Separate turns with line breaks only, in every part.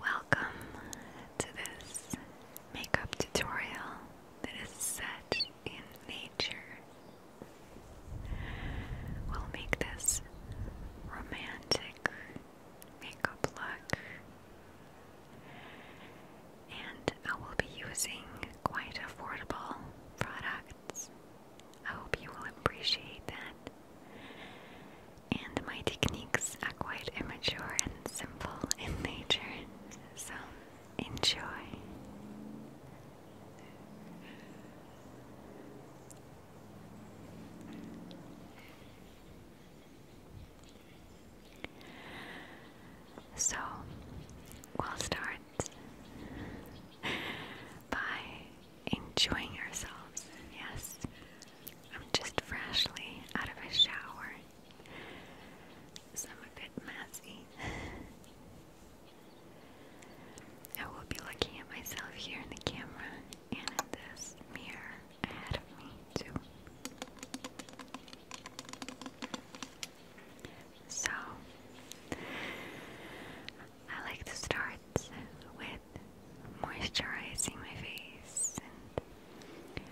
Welcome to this makeup tutorial that is set in nature. We'll make this romantic makeup look, and I will be using quite affordable products. I hope you will appreciate that. And my techniques are quite immature and simple in nature, so enjoy. So we'll start by enjoying ourselves. Yes, I'm just freshly out of a shower, I'm a bit messy. I will be looking at myself here in the camera and in this mirror ahead of me, too. So, I like to start with moisturizing my face and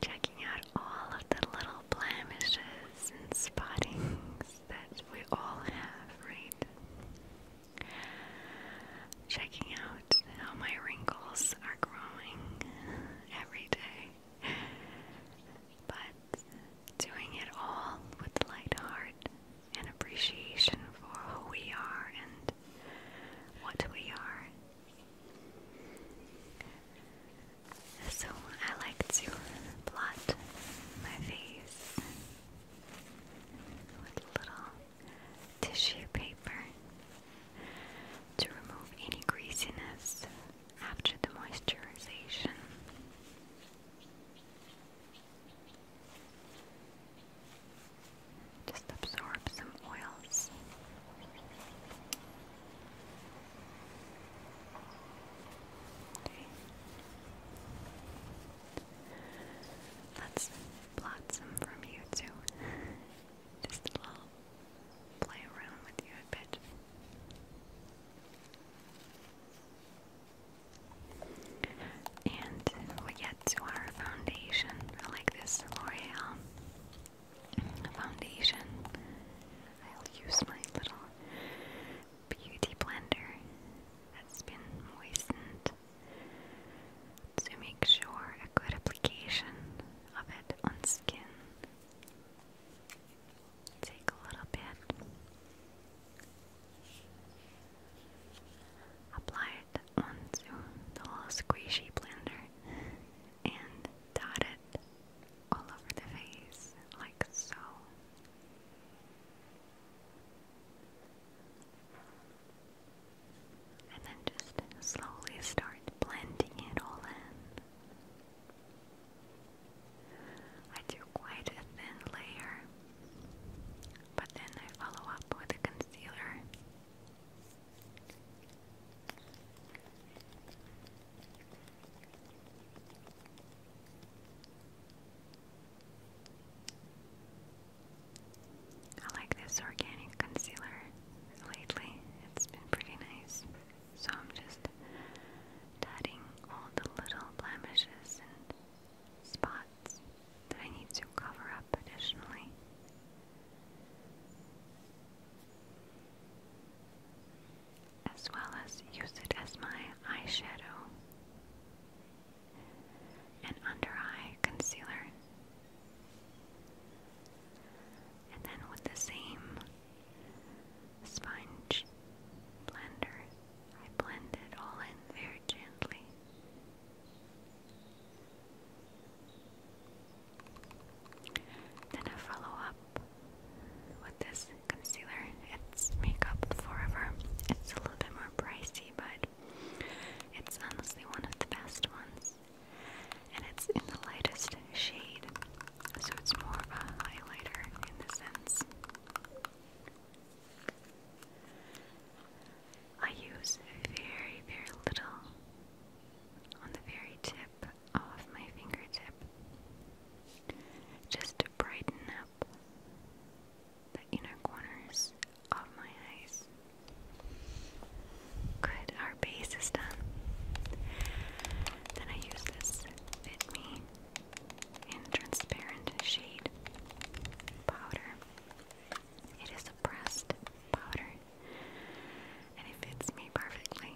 checking out all of the little blemishes and spottings that we all have, right? Checking out how my wrinkles are growing every day. But doing it all with a light heart and appreciation for who we are and what we are. So I like to blot my face with little tissue paper to remove any greasiness after the moisturization. Just absorb some oils. Let's blot some from you too. Just a little play with you a bit. And we get to our foundation. like this L'Oreal foundation. I'll use my little beauty blender that's been moistened to make sure a good application of it on skin. Take a little bit Apply it onto the little squishy blender and dot it all over the face, like so. And then just slowly start blending it all in. I do quite a thin layer but then I follow up with a concealer. I like this organic concealer lately. It's been pretty nice. So I'm just dotting all the little blemishes and spots that I need to cover up additionally. As well as use it as my eyeshadow and under eye concealer. And then with the same sponge blender, I blend it all in very gently. Then I follow up with this concealer. It's Makeup Forever. It's a little bit more pricey, but it's honestly one of the best ones. And it's in the lightest shade, so it's more of a highlighter in the sense. I use very, very little on the very tip of my fingertip just to brighten up the inner corners of my eyes. Good, our base is done. Then I use this Fit Me and transparent shade powder. It is a pressed powder and it fits me perfectly.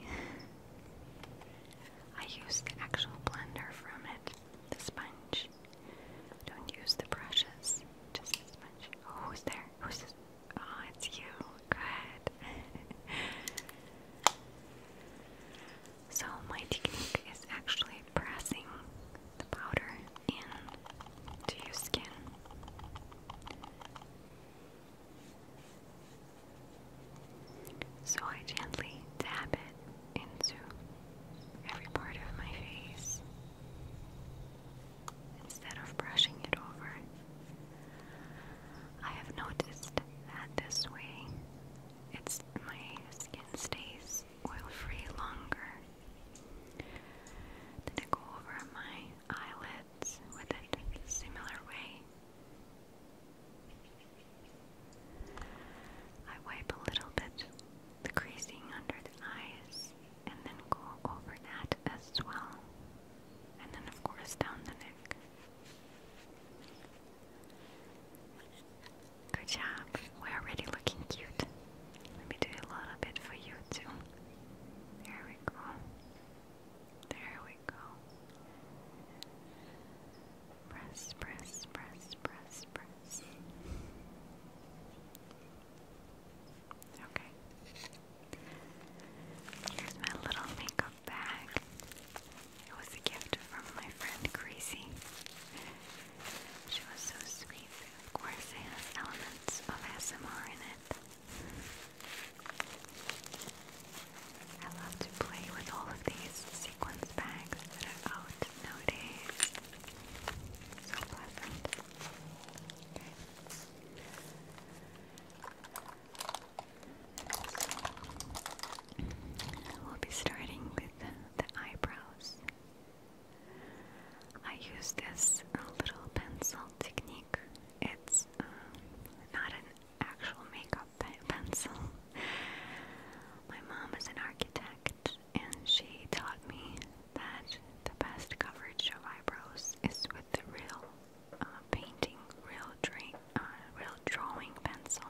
I use the actual blender from it, the sponge. Don't use the brushes, just as much. Oh, who's there? Who's this? Oh, it's you. Good. So my technique is actually pressing the powder into your skin. So I gently dab it into every part of my face instead of brushing it over. I have noticed that this way it's my skin stays oil-free longer. Then I go over my eyelids with it similar way. I wipe a little bit the creasing under the eyes and then go over that as well. And then of course down the neck. Good job. We're already looking cute. Let me do a little bit for you too. There we go. There we go. Press, press, press, press, press. Okay. Here's my little makeup bag. It was a gift from my friend Gracie. She was so sweet. Of course, it has elements of ASMR in it. I love to play with all of these sequence bags that are out nowadays. So pleasant. we'll be starting with the eyebrows. I use this uh, little pencil technique. It's um, not an actual makeup pencil. My mom is an architect, and she taught me that the best coverage of eyebrows is with the real uh, painting, real, dra uh, real drawing pencil.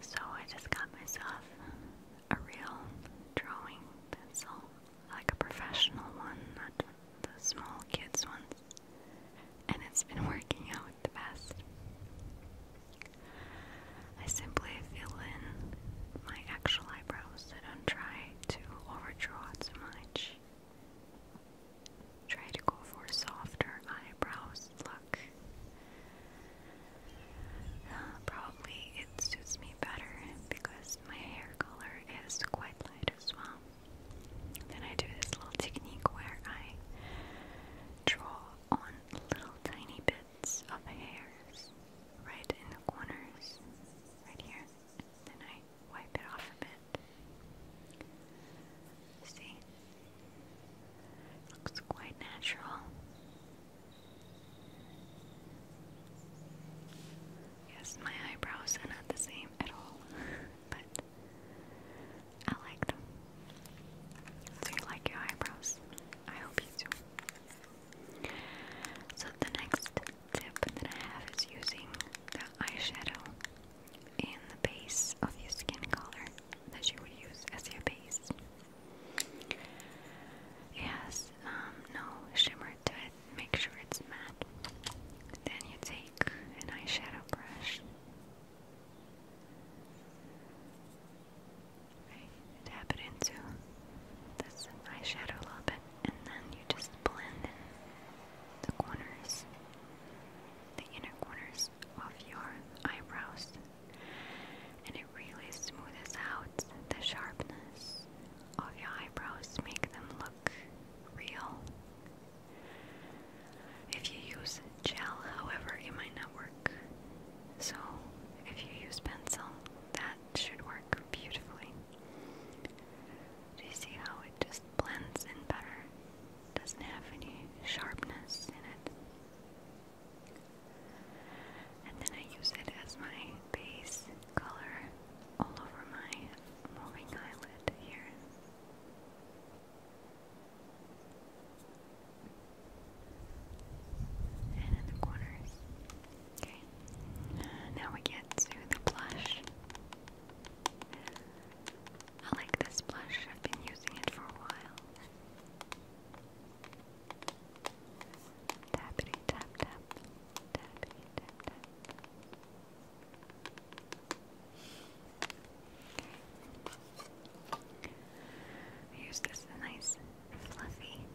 So I just got myself a real drawing pencil, like a professional one, not the small kids ones. And it's been working out the best. I simply fill in my actual eyebrows. I don't try to overdraw too much. Try to go for softer eyebrows look. Uh, probably it suits me better because my hair color is quite light as well. Then I do this little technique where I draw on little tiny bits of hairs right in the corners, right here. Then I wipe it off a bit. See? Looks quite natural. Yes, my eyebrows are not the same at all, but I like them. Do you like your eyebrows? I hope you do. So, the next tip that I have is using the eyeshadow in the base of your skin color that you would use as your base. It um, no shimmer to it, make sure it's matte. Then you take an eyeshadow brush. Right, tap it into this eyeshadow a little bit, and then you just blend the corners, the inner corners of your eyebrows and it really smooths out the sharpness of your eyebrows, make them look real. If you use gel, however, it might not work. So, if you use pencil, that should work beautifully. Do you see how it just blends in better? doesn't have any sharpness in it. And then I use it as my base color all over my moving eyelid here. And in the corners. Okay, now we get to the blush. I like this blush, I've been using it for a while. Tappity tap tap. Tappity tap use this nice fluffy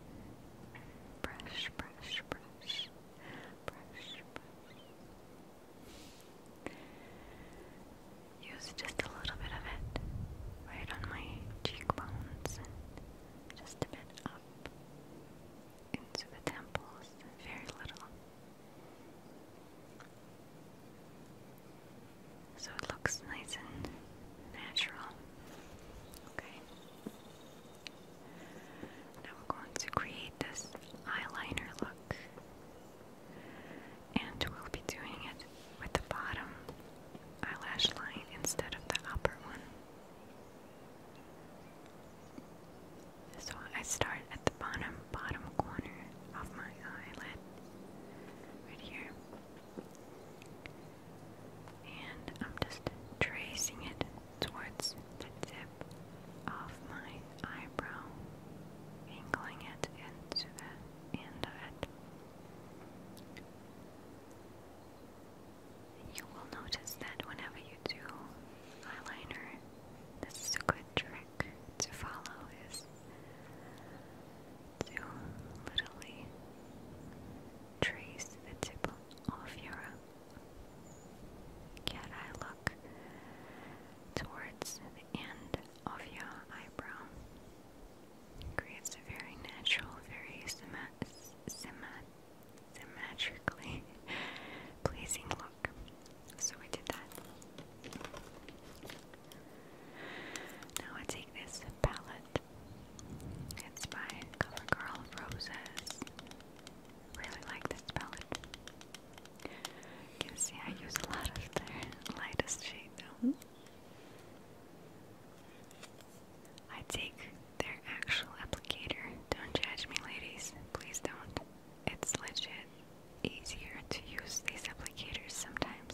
brush, brush, brush, brush, brush. Use just a little bit of it right on my cheekbones and just a bit up into the temples, very little. So it looks nice and natural. Okay. Now we're going to create this eyeliner look. And we'll be doing it with the bottom eyelash line instead of the upper one. So I start at the bottom, bottom corner of my eyelid, right here. And I'm just tracing it towards the tip of my eyebrow, angling it into the end of it. You will notice that whenever you do eyeliner, this is a good trick to follow is to literally trace the tip of your cat eye look towards the end of your eyebrow. creates a very natural, very symmetrically pleasing look. So we did that. Now I take this palette. It's by CoverGirl Roses. Really like this palette. You see I use a lot of the lightest shade now. I take their actual applicator. Don't judge me, ladies. Please don't. It's legit easier to use these applicators sometimes.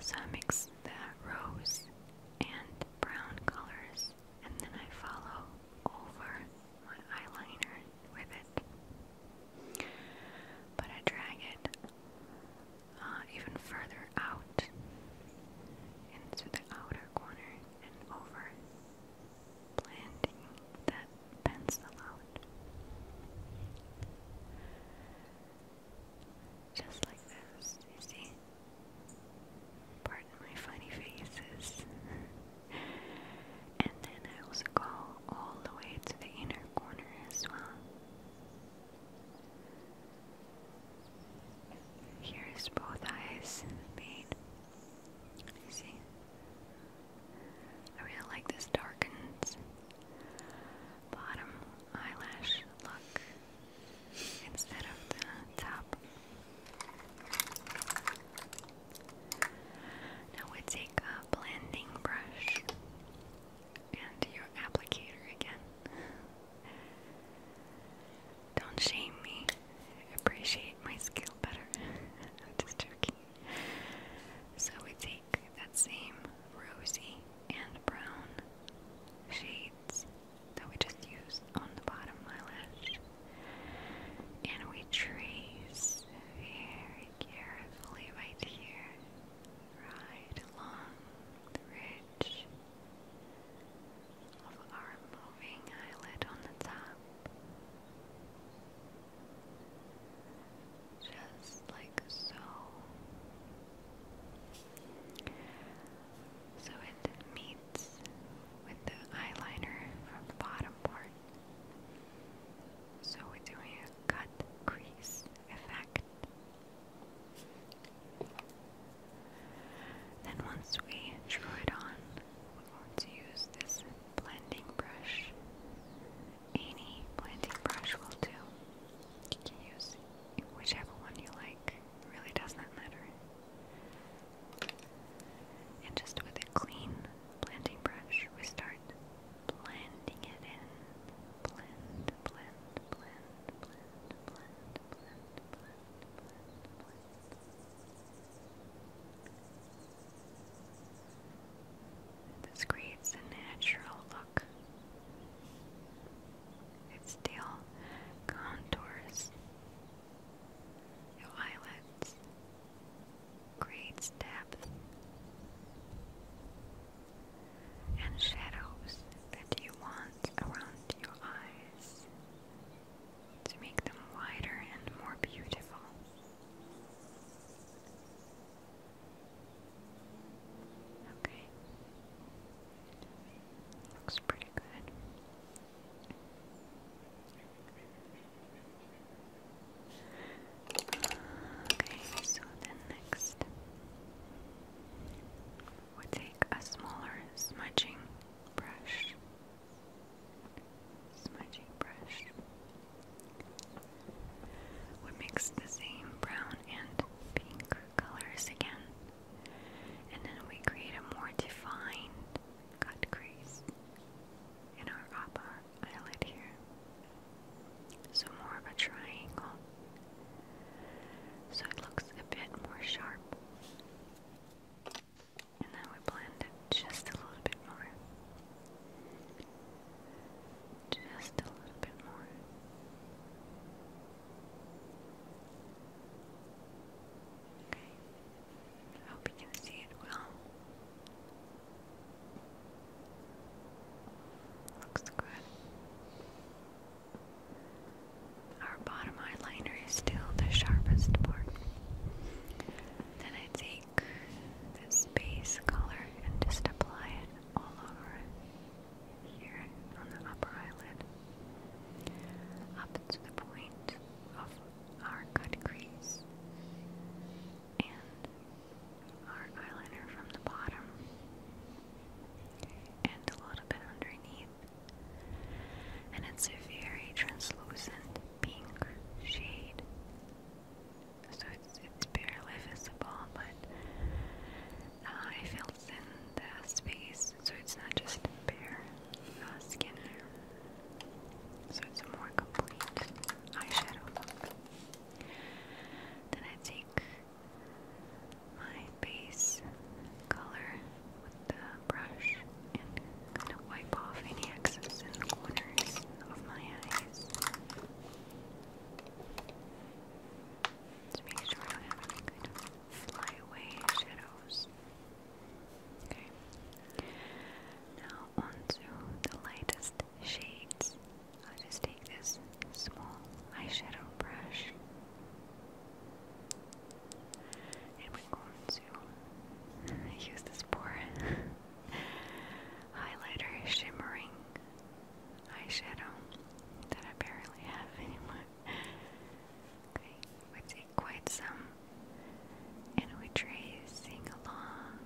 So I mix the rose and brown colors and then I follow over my eyeliner with it. But I drag it uh, even further out into the outer corner and over, blending that pencil out. Just like this, you see? Pardon my funny faces. and then I also go all the way to the inner corner as well. Here is both eyes made. see? I really like this darkened bottom eyelash look instead of the top. Now we take a blending brush and your applicator again. Don't shame me. Appreciate my skill better. I'm just joking. So we take that same rosy and brown shades that we just used on the bottom eyelash and we trace very carefully right here, right along the ridge of our moving eyelid on the top. Just like so. So it meets with the eyeliner from the bottom part. So we're doing a cut crease effect. Then once we draw it on, we're going to use this blending brush. Any blending brush will do. You can use whichever one you like. It really does not matter. And just with a clean blending brush, we start blending it in. Blend, blend, blend, blend, blend, blend, blend, blend, blend. And this creates a natural look. It still contours your eyelids creates depth and shadows that you want around your eyes to make them wider and more beautiful. Okay. Looks pretty good. Okay, so then next we take a smaller smudging brush. Smudging brush. We mix the same brown and pink colors again, and then we create a more defined cut crease and our upper eyelid here. So more of a triangle. So it looks a bit more sharp. And then we blend it just a little bit more. Just a little bit more. Okay. I hope you can see it well. Looks good. Our bottom eyeliner is still the sharpest part. Then I take this base color and just apply it all over here on the upper eyelid, up to the point of our cut crease and our eyeliner from the bottom and a little bit underneath. And it's a very translucent pink shade. So it's, it's barely visible, but uh, I filled in the space so it's not just bare uh, scanner, so it's a more complete eyeshadow look. Then I take my base color with the brush and kind of wipe off any excess in the corners of my eyes to make sure I have any flyaway shadows. Okay. Now onto the lightest shades. i just take this small eyeshadow brush and we're going to use this poor highlighter shimmering eyeshadow that I barely have anymore. Okay, with the quite some, and we tracing along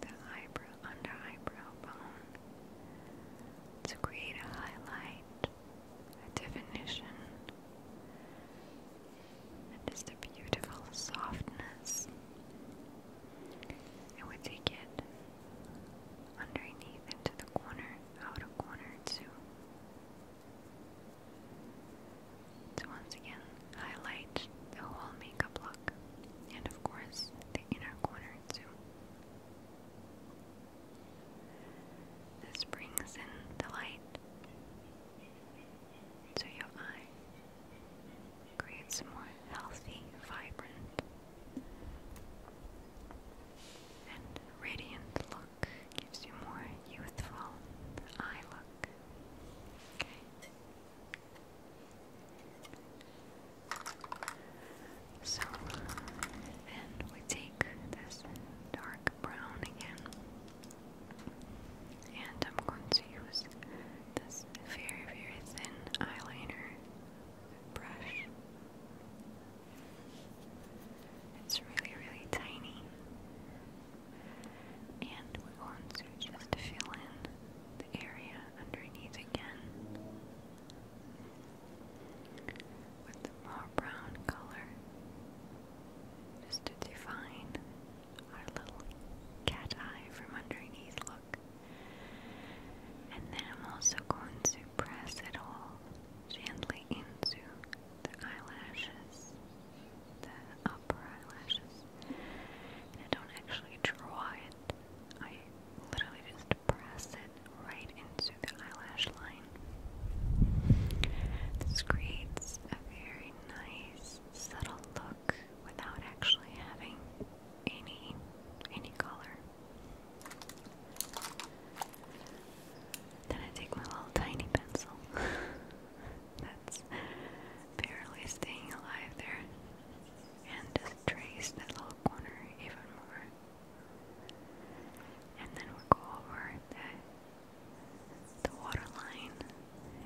the eyebrow, under eyebrow bone to create a highlight, a definition, and just a beautiful softness. And we take it underneath into the corner, outer corner too. So once again highlight the whole makeup look and of course the inner corner too. This brings in the light to your eye, creates more healthy, vibrant, and radiant look gives you more youthful eye look. Okay. So then we take this dark brown again, and I'm going to use this very, very thin eyeliner brush. It's really, really tiny. And we are going to just fill in the area underneath again with the more brown color just to define our little cat eye from underneath look. And then I'm also going to press it all gently into the eyelashes, the upper eyelashes. I don't actually draw it. I literally just press it right into the eyelash line. This creates a very nice, subtle look without actually having any any color. Then I take my little tiny pencil. That's barely staying alive there. And just trace that little corner even more. And then we go over the, the water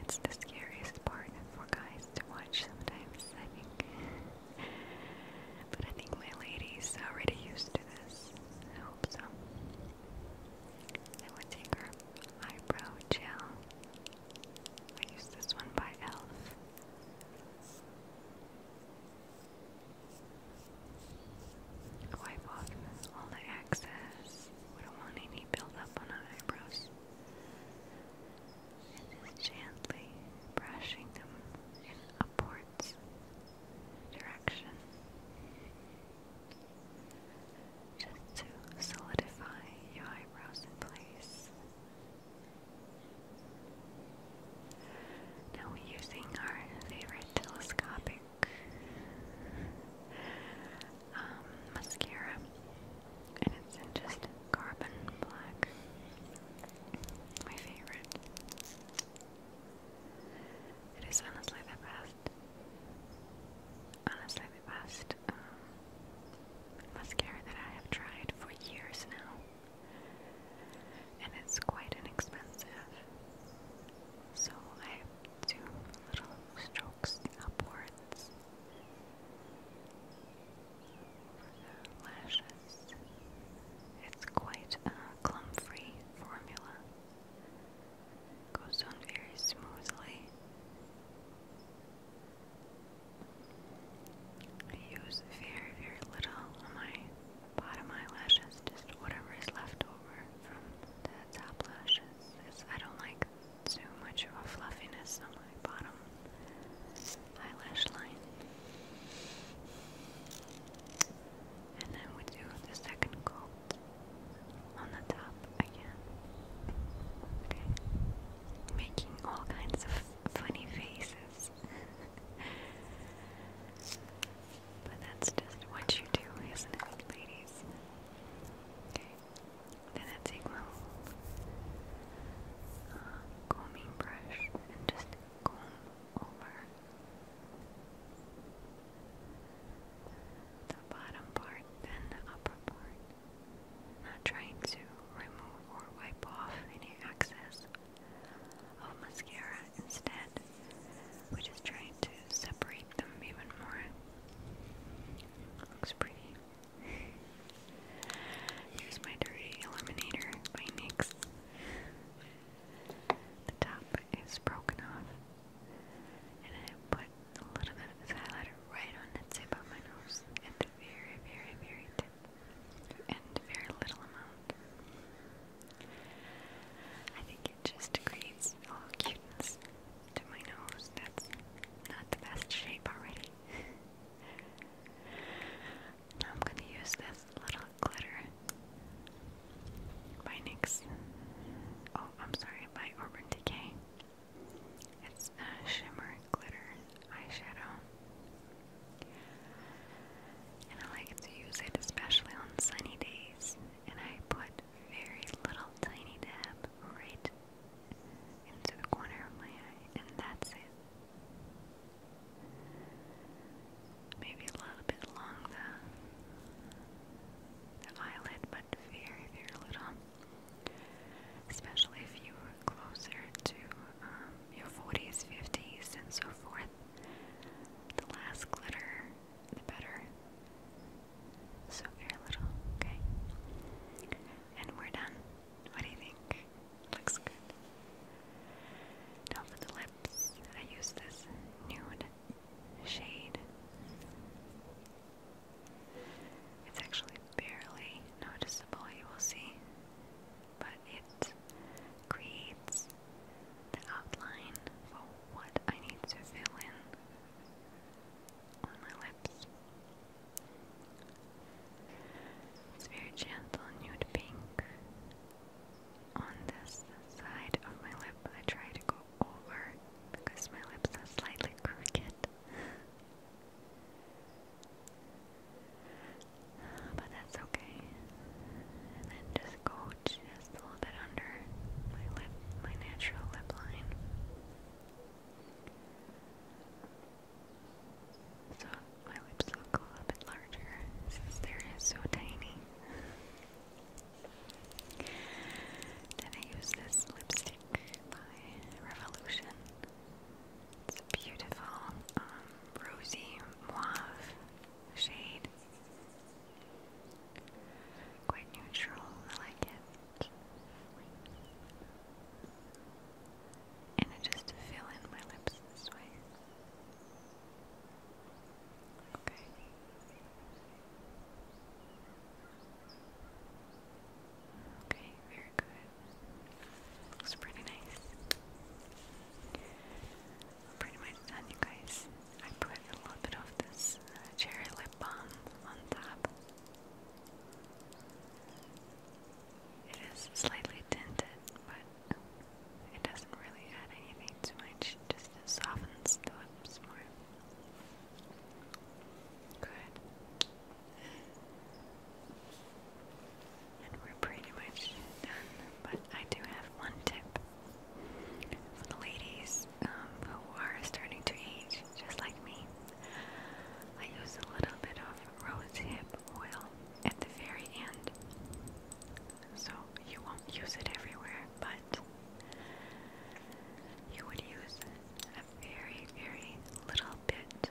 It's the scariest part for guys to watch sometimes, I think. but I think my lady's already used to this. I hope so. I would take her eyebrow gel. I use this one by e.l.f. Wipe oh, off all the excess. We don't want any buildup on our eyebrows. And just gently brushing them in upwards direction just to solidify your eyebrows in place. Now we're using our favorite telescopic um, mascara, and it's in just carbon black, my favorite. It is honestly the best honestly uh, the best um, mascara that I have tried for years now, and it's quite inexpensive. So I do little strokes upwards for the lashes. It's quite a clump-free formula goes on very smoothly. use very, very little on my bottom eyelashes, just whatever is left over from the top lashes. I don't like too much of a fluffiness on my bottom eyelash line. And then we do the second coat on the top again. Okay. Making all kinds of funny faces. but that's just what you do, isn't it, ladies? Okay. Then I take my uh, combing brush and just comb over the bottom part and the upper part. Not trying to remove or wipe off any excess of mascara instead, which is trying to separate them even more. Looks pretty. Here's my Dirty Eliminator by NYX. The top is broken off, and I put a little bit of this highlighter right on the tip of my nose, at the very, very, very tip, and very little amount. I think it just creates a cuteness to my nose that's not the best shape already. now I'm gonna use this little glitter by NYX. Oh, I'm sorry, by Urban Decay. It's a shimmer glitter eyeshadow. And I like to use it especially on sunny days. And I put very little tiny dab right into the corner of my eye, and that's it maybe a little bit along the, the eyelid, but very, very little. Especially if you are closer to um, your 40s, 50s, and so forth. The less glitter, the better. So very little, okay? And we're done. What do you think? Looks good. Now for the lips, I use this nude shade. It's actually barely noticeable, you will see, but it creates the outline for what I need to fill in on my lips. It's very gentle nude pink on this side of my lip. I try to go over because my lips are slightly crooked. But that's okay. And then just go just a little bit under my lip, my natural lip line. So my lips look a little bit larger since they're so tiny. Then I use this lipstick by Revolution. It's a beautiful um, rosy mauve shade. Quite neutral, I like it. And I just fill in my lips this way. Okay. Okay, very good. Looks pretty nice. Pretty much done, you guys. I put a little bit of this uh, cherry lip balm on top. It is slightly tinted, but it doesn't really add anything too much, just softens the lips more. Good. And we're pretty much done, but I do have one tip for the ladies um, who are starting to age, just like me. I use a little bit of rosehip oil at the very end so you won't use it everywhere, but you would use a very, very little bit.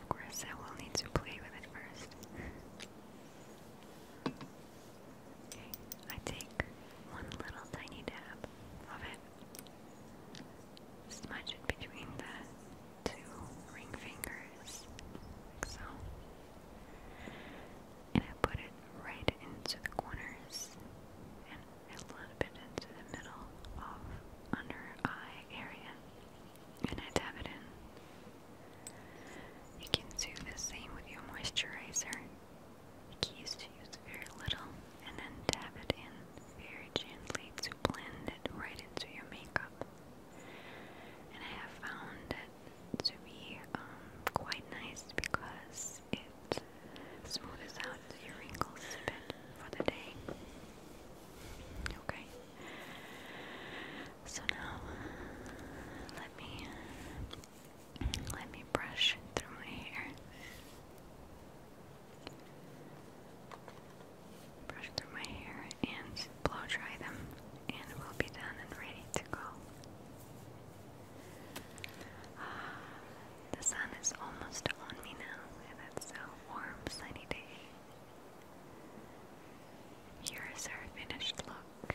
Of course, I will need to play with it first. okay, I take one little tiny dab of it smudge it between the two ring fingers, like so. And I put it right into the corners and a little bit into the middle of under eye area. And I dab it in. You can do the same with your moisturizer. The use very little and then dab it in very gently to blend it right into your makeup. And I have found it to be um, quite nice because it smoothes out your wrinkles a bit for the day. Okay. So now let me let me brush through my hair. Brush through my hair and blow dry them, and we'll be done and ready to go. Ah, the sun is almost on me now, and it's a warm, sunny day. Here is our finished look.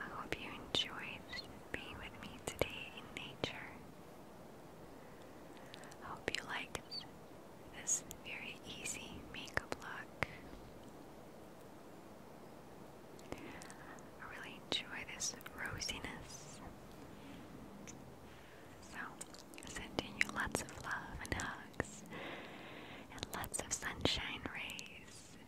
I hope you enjoyed be with me today in nature. I hope you liked this very easy makeup look. I really enjoy this rosiness. So, sending you lots of love and hugs and lots of sunshine rays.